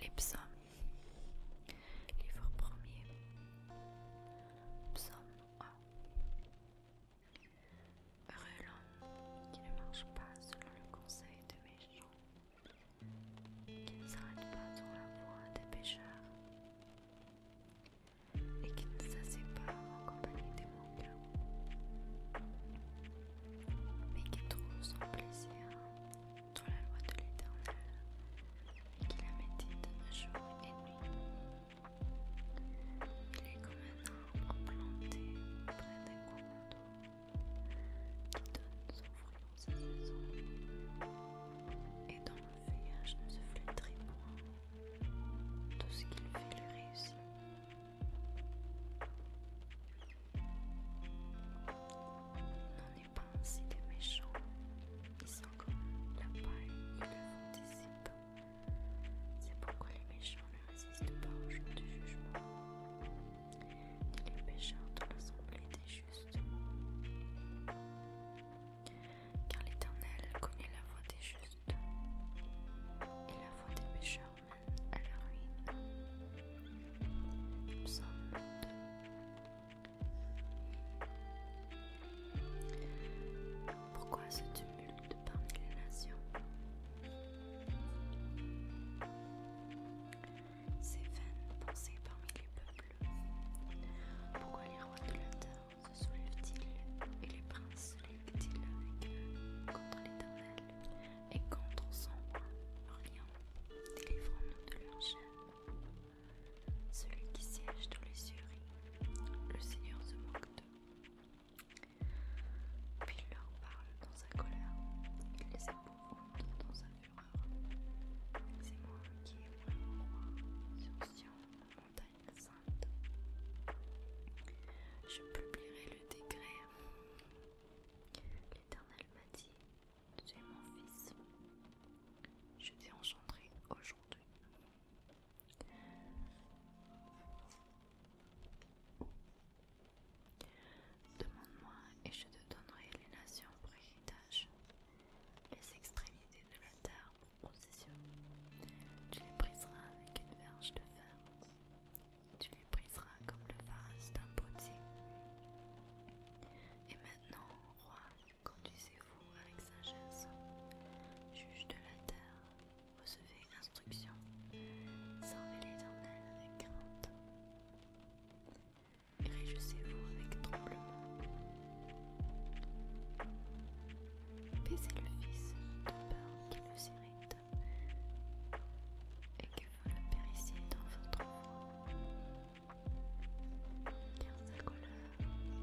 Les psaumes. Livre premier. Psaume 1. Heureux l'homme qui ne marche pas selon le conseil de méchants, qui ne s'arrête pas sur la voie des pécheurs, et qui ne s'assied pas en compagnie des morts mais qui trouve son plaisir dans la loi de l'Éternel et qui la médite jour et nuit. Il est comme un arbre planté près d'un courant d'eau qui donne son fruit dans sa saison et dont le feuillage ne se flétrit point. Tout ce qui le fait le réussit. N'en n'est pas ainsi des méchants. Ils sont comme la paille et le vent des C'est pourquoi les méchants ne résistent pas au jour du jugement. Ni les pécheurs dans l'assemblée des justes. Car l'Éternel connaît la voie des justes et la voie des pécheurs alors oui. sommes sommes Pourquoi ce tumulte parmi les nations Ces vaines pensées parmi les peuples. Pourquoi les rois de se soulèvent-ils et les princes se lèvent-ils avec eux contre l'éternel et on son rien, délivrons-nous de l'enchaîne. Celui qui siège tous les cieux le Seigneur se moque d'eux. Puis il leur parle dans sa colère, il les épouvante dans sa fureur. C'est moi qui ai pris mon roi sur Sion, la montagne sainte. Je publierai le décret L'Éternel m'a dit, tu es mon fils, je t'ai engendré aujourd'hui. Demande-moi et je te donnerai les nations pour héritage, les extrémités de la terre pour possession. Tu les briseras avec une verge de fer tu les briseras comme le vase d'un potier. Et maintenant, roi, conduisez-vous avec sagesse, juge de la terre, recevez instruction, servez l'éternel avec crainte. Réjouissez-vous avec tremblement. Baissez le Fils de peur qui nous irrite et que vous le périssiez dans votre voix,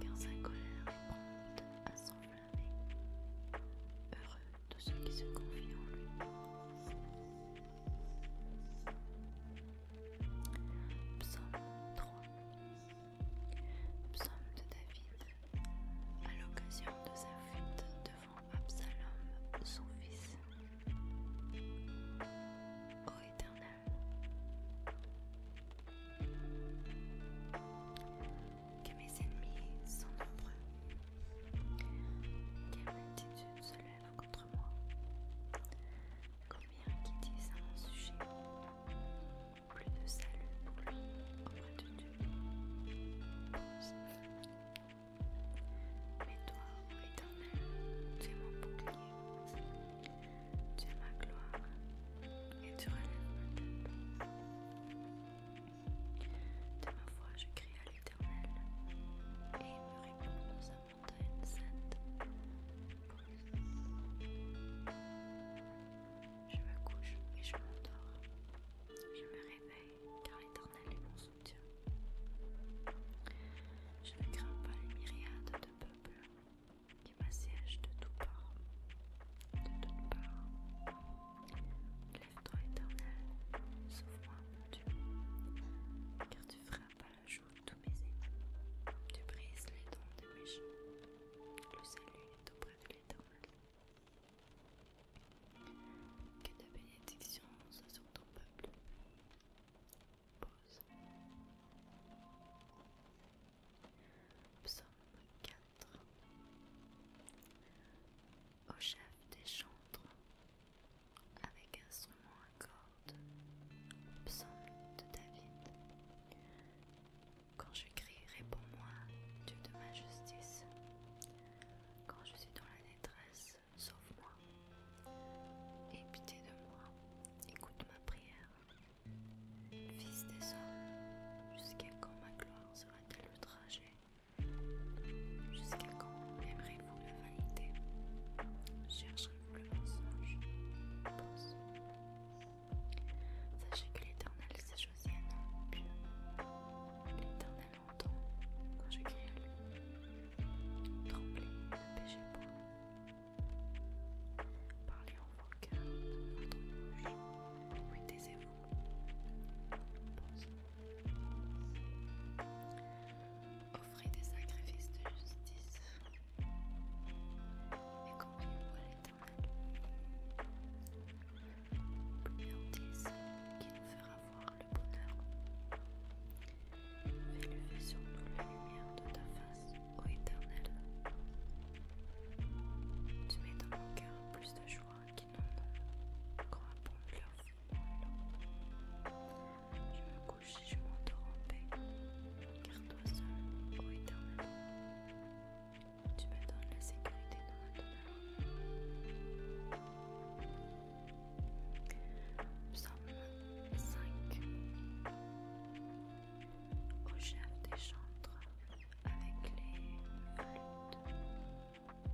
car sa colère, car sa colère est à s'enflammer. Heureux tous ceux qui se confient en lui. Psaume 3 Psaume de David à l'occasion de sa fuite de Absalom, son fils. Ô Éternel, que mes ennemis sont nombreux, quelle multitude se lève contre moi, combien qui disent à mon sujet, plus de salut pour lui auprès de Dieu. Mais toi, ô Éternel, tu es mon bouclier, tu es ma gloire et tu relèves ma tête. De ma foi, je crie à l'Éternel et il me répond dans sa montagne sainte. Je me couche et je m'endors. Je me réveille car l'Éternel est mon je ne crains pas les myriades de peuples qui m'assiègent de tout parts. De part Lève-toi éternel, sauve-moi, Dieu, car tu frappes à la joue tous mes ennemis. Tu brises les dents de méchants. Le salut est auprès de l'éternel. Que ta bénédiction soit sur ton peuple. Pause. Psaume 4 Au chef des chantres, avec instrument à cordes, psaume de David. Quand je crie, réponds-moi, Dieu de ma justice. Quand je suis dans la détresse, sauve moi. Aie pitié de moi, écoute ma prière. Fils des hommes, jusqu'à quand ma gloire sera-t-elle le trajet Jusqu'à quand aimerez-vous la vanité Chercherez-vous le mensonge Sachez que l'Éternel s'est choisi un nom, longtemps quand je criais à lui. Trembler n'empêchait pas. Parlez en vainqueur, votre bouche. Oui, taisez-vous. Pause. Offrez des sacrifices de justice et conduis vous à l'éternel. Plus qui nous fera le bonheur. Fais sur nous la lumière de ta face, ô Éternel. Tu mets dans mon cœur plus de joie qu'il n'en a, quand abondent leurs Je me couche si je m'endors en paix, garde toi seul, ô Éternel, tu me donnes la sécurité dans ma demeure. Psaume 5 Au chef des chantres avec les flûtes.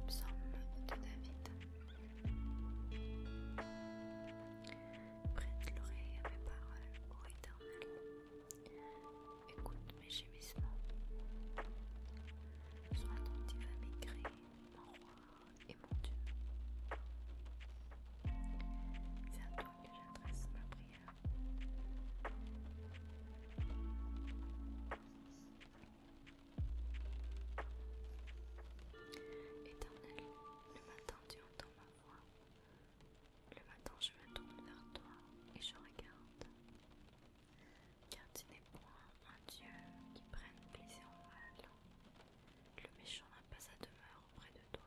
Psaume de David. Prête l'oreille à mes paroles, ô Éternel. Écoute mes gémissements. Sois attentif à mes cris, mon roi et mon Dieu. C'est à toi que j'adresse ma prière. Éternel, le matin tu entends ma voix. Le matin je me tourne vers toi et je regarde. Car tu n'es point un Dieu qui prenne plaisir au mal, le méchant n'a pas sa demeure auprès de toi.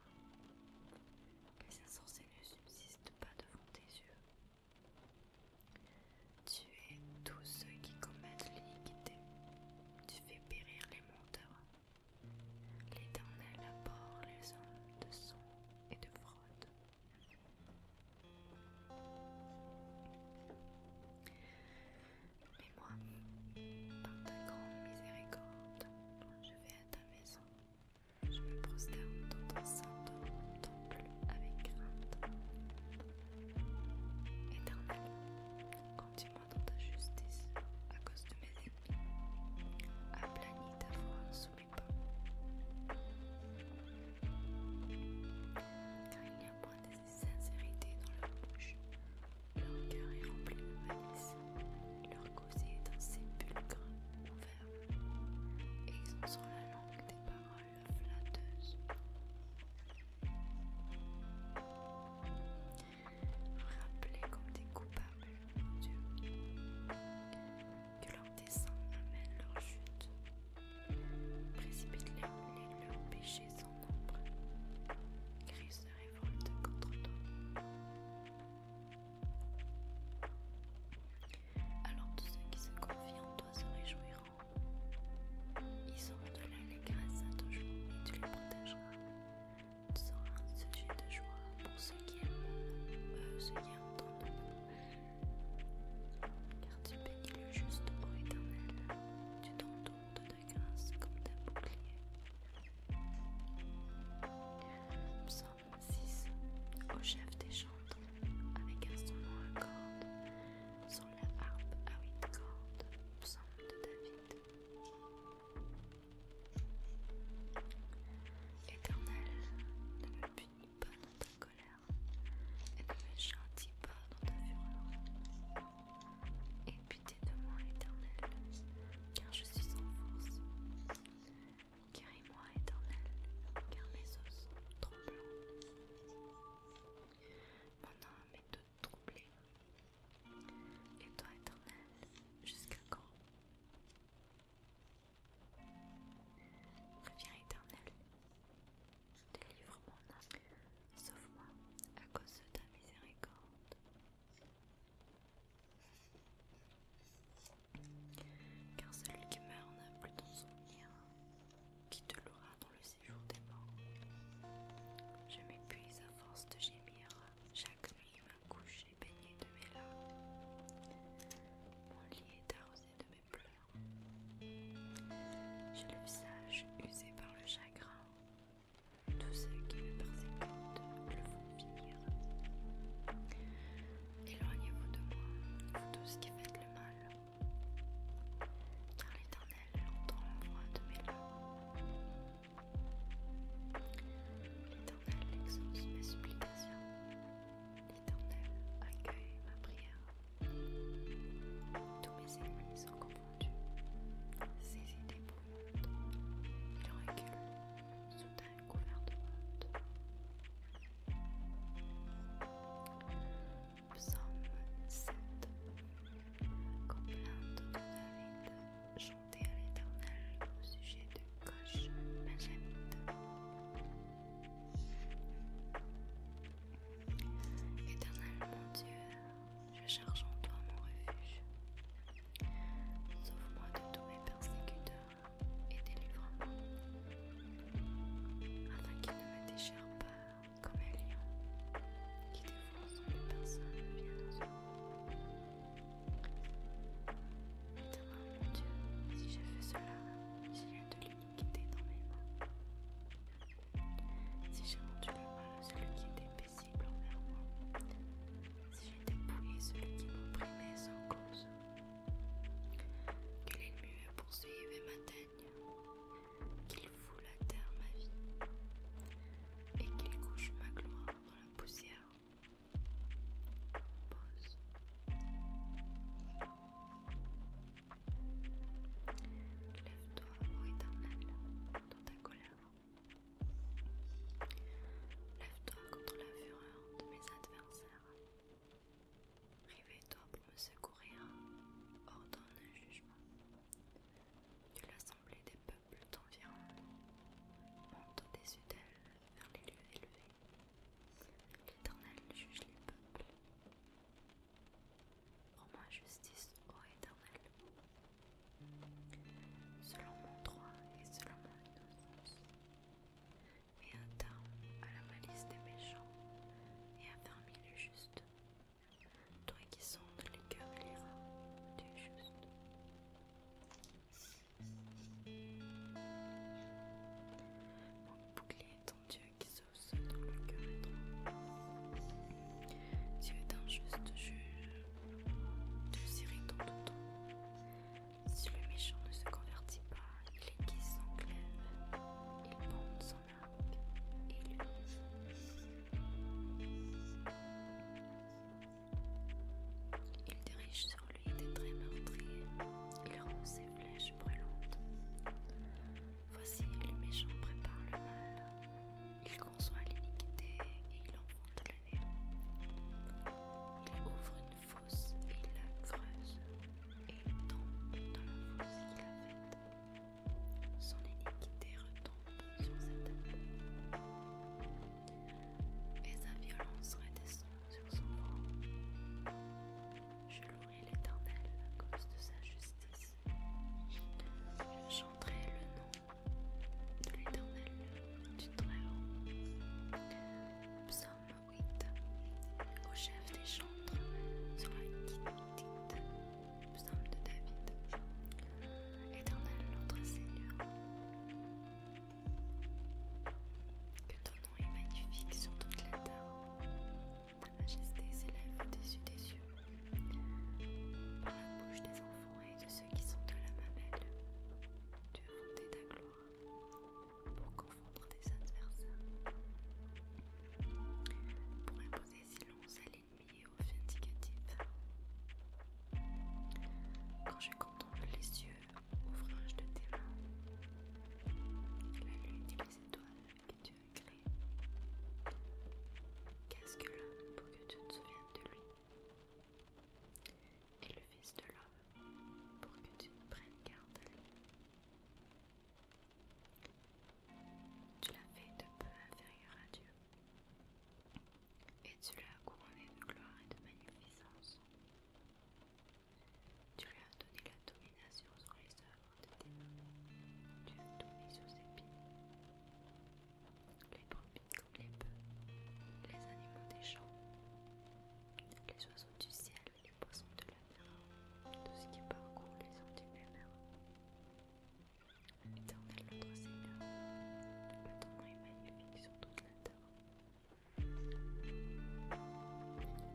Les insensés ne subsistent pas devant tes yeux. Tu es tous ceux qui commettent l'iniquité. Tu fais périr les menteurs. L'Éternel apporte les hommes de sang et de fraude. Mais moi, par ta grande miséricorde, je vais à ta maison. Je me prosterne dans ton saint temple avec crainte. Éternel, continue moi dans ta justice à cause de mes ennemis. Aplanis ta voix sous mes pas. Car il n'y a d'esprit sincérité dans leur bouche. Leur cœur est rempli de malice. Leur causé est un sépulcre ouvert. Et ils ont sur la langue des paroles flatteuses. rappelés comme des coupables, mon Dieu, que leur descend amène leur chute. Précipite-les leurs péchés Christ nombre. se révolte contre toi. Alors tous ceux qui se confient en toi se réjouiront. Ils auront de la grâce à ton jour et tu les protégeras. Tu seras un sujet de joie pour ceux qui aiment, ceux qui aiment ton nom. Car tu bénis le juste au éternel. Tu t'entoures de de comme d'un bouclier. Psaume 6 Au chef des chantres, avec un instrument à cordes, Sonne la harpe à huit cordes, psaume de David. Éternel, ne me punis pas dans ta colère, et ne me pas dans ta fureur et butez de moi, éternel, car je suis sans force. Guéris-moi, éternel, car mes os sont Mon âme est toute troublée. Et toi, éternel, jusqu'à quand Reviens, éternel, délivre mon âme Sauf moi, à cause de ta miséricorde. Car celui qui meurt n'a plus ton souvenir, qui te louera dans le séjour des morts. Je m'épuise à force de gémir, chaque nuit ma couche est baignée de mes larmes. Mon lit est arrosé de mes pleurs. J'ai le visage usé par le chagrin, tous ceux qui me persécutent le font finir. Éloignez-vous de moi, vous tous qui faites le mal, car l'Éternel entend la voix de mes larmes. L'Éternel exauce mes supplications, l'Éternel accueille ma prière. Tous mes ennemis sont comblés entendu ses idées brouillantes. Il recule, soudain couvert de honte. Psalm 7 Complainte de David, chantée à l'éternel au sujet de Coche Benjamite. Éternel mon Dieu, je charge en toi mon refuge. Sauve-moi de tous mes persécuteurs et délivre-moi, afin qu'ils ne me déchirent pas comme un lion qui défonce une personne bien Maintenant, mon Dieu, si j'ai fait cela, j'ai eu de l'iniquité dans mes mains. Si j'ai rendu le mal à celui qui était envers moi. Si j'ai dépouillé celui qui m'opprimait sans cause, que l'ennemi me poursuive et m'atteigne, qu'il foule la terre ma vie, et qu'il couche ma gloire dans la poussière. pose. Lève-toi, ô éternel, dans ta colère. Lève-toi contre la fureur de mes adversaires. réveille toi pour me secourir. Ordonne un jugement. Que l'assemblée des peuples t'environne. Monte des dessus vers les lieux élevés. L'Éternel juge les peuples. Rends moi justice, ô Éternel, selon mon droit et selon mon innocence, un terme à la malice des méchants et affermis le juste, toi qui sondes les cœurs et les reins du juste. Mon bouclier est ton Dieu qui sauve ceux le cœur est Tu es juste juge, si le méchant ne se convertit pas, il aiguise son glaive, il monte son arc et il Il dirige sur lui des traits meurtriers, il rend ses flèches brûlantes. Voici, le méchant prépare le mal, conçoit l'iniquité et il embronde le néant. Il ouvre une fosse et il la creuse et il tombe dans la fosse qu'il a faite. Son iniquité retombe sur cette tête et sa violence redescend sur son nom. Je louerai l'Éternel à cause de sa justice. Je chanterai le nom de l'Éternel, du Très-Haut. Psaume 8 Au chef des chantres sur la dignité. Psaume de David Éternel, notre Seigneur, que ton nom est magnifique sur toute la terre. Ta majesté s'élève au-dessus des yeux Par la bouche des enfants et de ceux qui sont de la mamelle. Tu as fondé ta gloire pour confondre tes adversaires, pour imposer silence à l'ennemi et aux vindicatifs. Quand je contemple les yeux, ouvrage de tes mains, la lune et les étoiles que tu as créées, qu'est-ce que l'homme pour que tu te souviennes de lui et le Fils de l'homme, pour que tu ne prennes garde à lui. Tu l'as fait de peu inférieur à Dieu, et tu l'as couronné de gloire et de magnificence. Tu lui as donné la domination sur les œuvres de tes mains. Tu as donné sur ses pieds. Les les bœufs, les animaux des champs, les oiseaux du ciel, les poissons de la mer, tout ce qui parcourt les sentiers humains. Éternel notre Seigneur, le temps est magnifique sur tous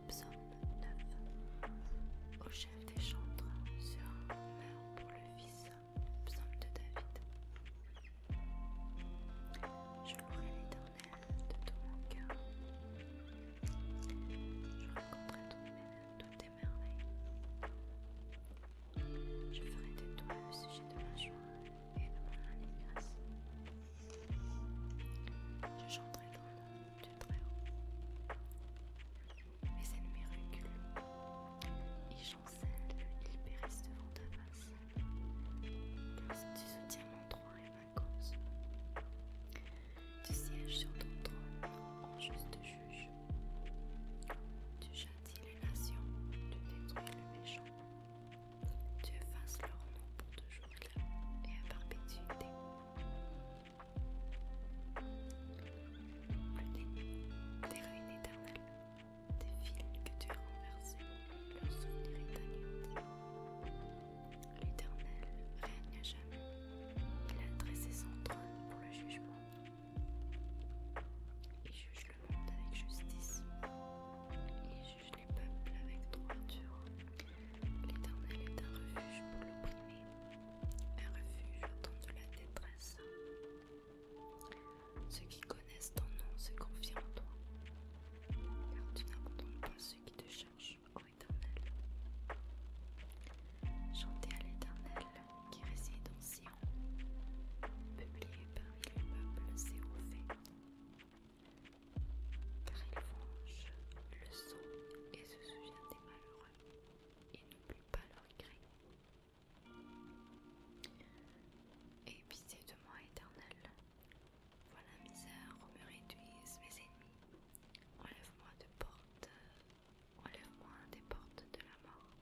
Psaume 9 Au chef des chantres, sur un honneur pour le Fils, semble de David. Je louerai l'éternel de tout mon cœur. Je raconterai toutes tes merveilles. Je ferai de toi le sujet de ma joie et de mon allégresse. Je chanterai dans le nom du Très-Haut. Mes ennemis reculent. Ils ils périssent devant ta face. Tu soutiens mon droit et ma cause. Tu sièges sur ton trône en juste juge. Tu châties les nations, tu détruis le méchant. Tu effaces leur nom pour toujours et à perpétuité. Plus des ruines éternelles, des fils que tu as renversés, leur souvenir est ta L'Éternel règne à jamais. Il a dressé son trône pour le jugement. Il juge le monde avec justice. Il juge les peuples avec droiture. L'Éternel est un refuge pour l'opprimé, un refuge au temps de la détresse. Ceux qui connaissent ton nom se confient en toi, car tu n'abandonnes pas ceux qui te cherchent, ô Éternel. Chantez à l'Éternel qui réside en Sion, publié par les peuples car il venge le sang et se souvient des malheureux, et n'oublie pas leur cri. Et pitié de moi, éternel. voilà misère où me réduisent mes ennemis. Enlève-moi de portes, Enlève-moi des portes de la mort.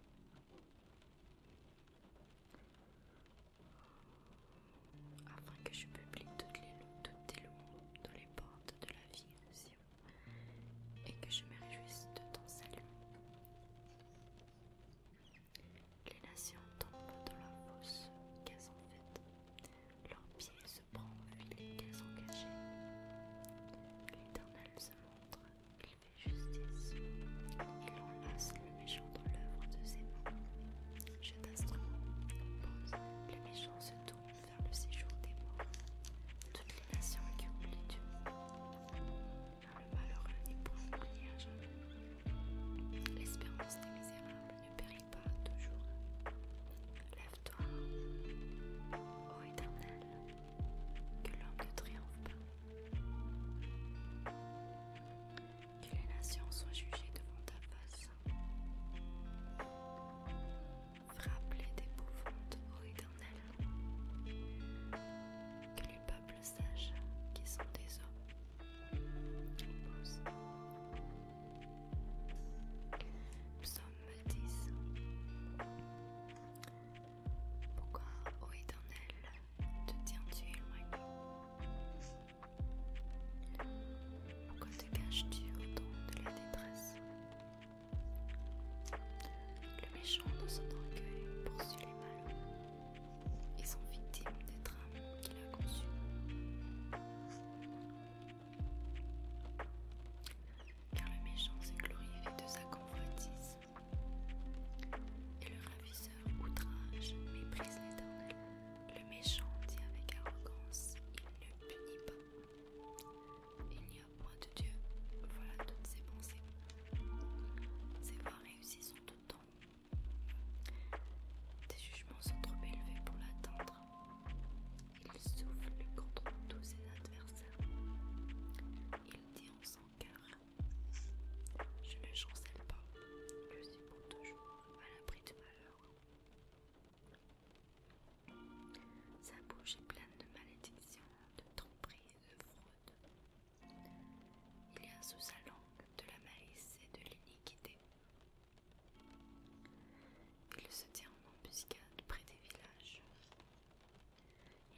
Afin que je publie toutes, les, toutes toutes les portes de la vie de et que je me réjouisse de ton salut. Les nations tombent dans la fosse, qu'elles en faite. Leur pied se prend au filet, qu'elles ont caché. L'éternel se montre, il fait justice. Il enlace le méchant dans l'œuvre de ses mains. Je d'instrument, Les méchants se tournent vers le séjour des morts. Toutes les nations qui du monde. Le malheur n'est point oublié à jamais. L'espérance des misérables ne périt pas toujours. Lève-toi, ô éternel, que l'homme ne triomphe pas. Que les nations soient jugées devant ta face. Frappe-les d'épouvante, ô éternel. Que peuples sages qui sont des hommes. Nous sommes Psaume 10 Pourquoi, ô éternel, te tiens-tu éloigné Pourquoi te caches-tu autant de la détresse Le méchant dans son orgueil poursuit les malheureux. Ils sont victimes des drames qu'il a conçus. Car le méchant s'est glorifié de sa convoitise, et le ravisseur outrage méprise l'éternel. Le méchant dit avec arrogance Il ne punit pas. Il n'y a point de Dieu. Voilà toutes ses pensées. Ses voies réussies sont temps. Des jugements sont trop élevés pour l'atteindre. Il souffle contre tous ses adversaires. Il dit en son cœur « Je ne chancelle pas. Je suis pour toujours à l'abri de malheur. Sa bouche est pleine de malédictions, de tromperies, de fraudes. Il y a sous sa langue de la malice et de l'iniquité. Il se tient en embuscade près des villages.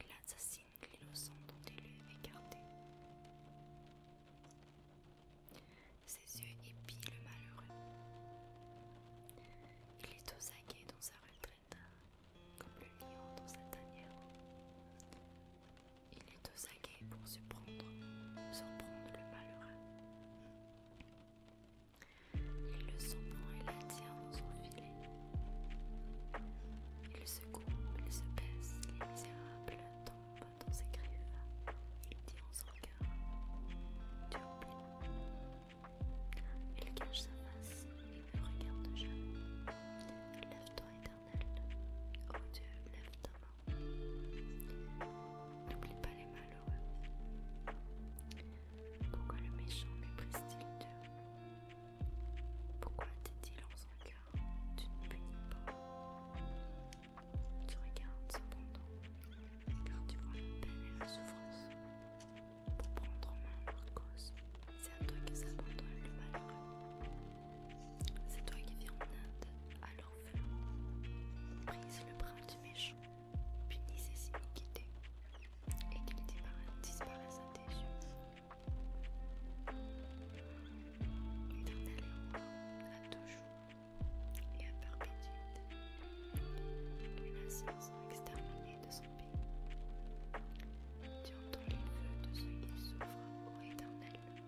Il assassine l'innocent dont il est écarté. Ses yeux épient le malheureux. Il est aux aguets dans sa retraite, comme le lion dans sa tanière. Il est aux aguets pour surprendre, surprendre s'en prendre le malheureux. Il le sent bon, et la dans son filet. Il se il se baisse, les misérables tombe dans ses griffes. Il dit en son cœur Tu oublies. Il cache sa face, il ne regarde jamais. Lève-toi et oh Dieu, lève ta main. N'oublie pas les malheureux. Pourquoi le méchant méprise-t-il Dieu Pourquoi dit-il en son cœur Tu ne bénis pas Tu regardes cependant, car tu vois la peine et la souffrance. Pour prendre en main leur cause, c'est à toi que s'abandonne le malheureux. C'est toi qui viens en Inde, alors feu. Brise le bras du méchant, punis ses iniquités, et qu'il disparaisse à tes yeux. Éternel à toujours et à perpétuité. Une nation exterminée de son pays. Tu entends les voeux de ceux qui souffrent, ô éternel.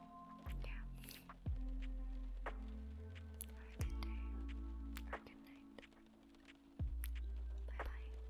yeah. Have a good day or good night. Bye bye.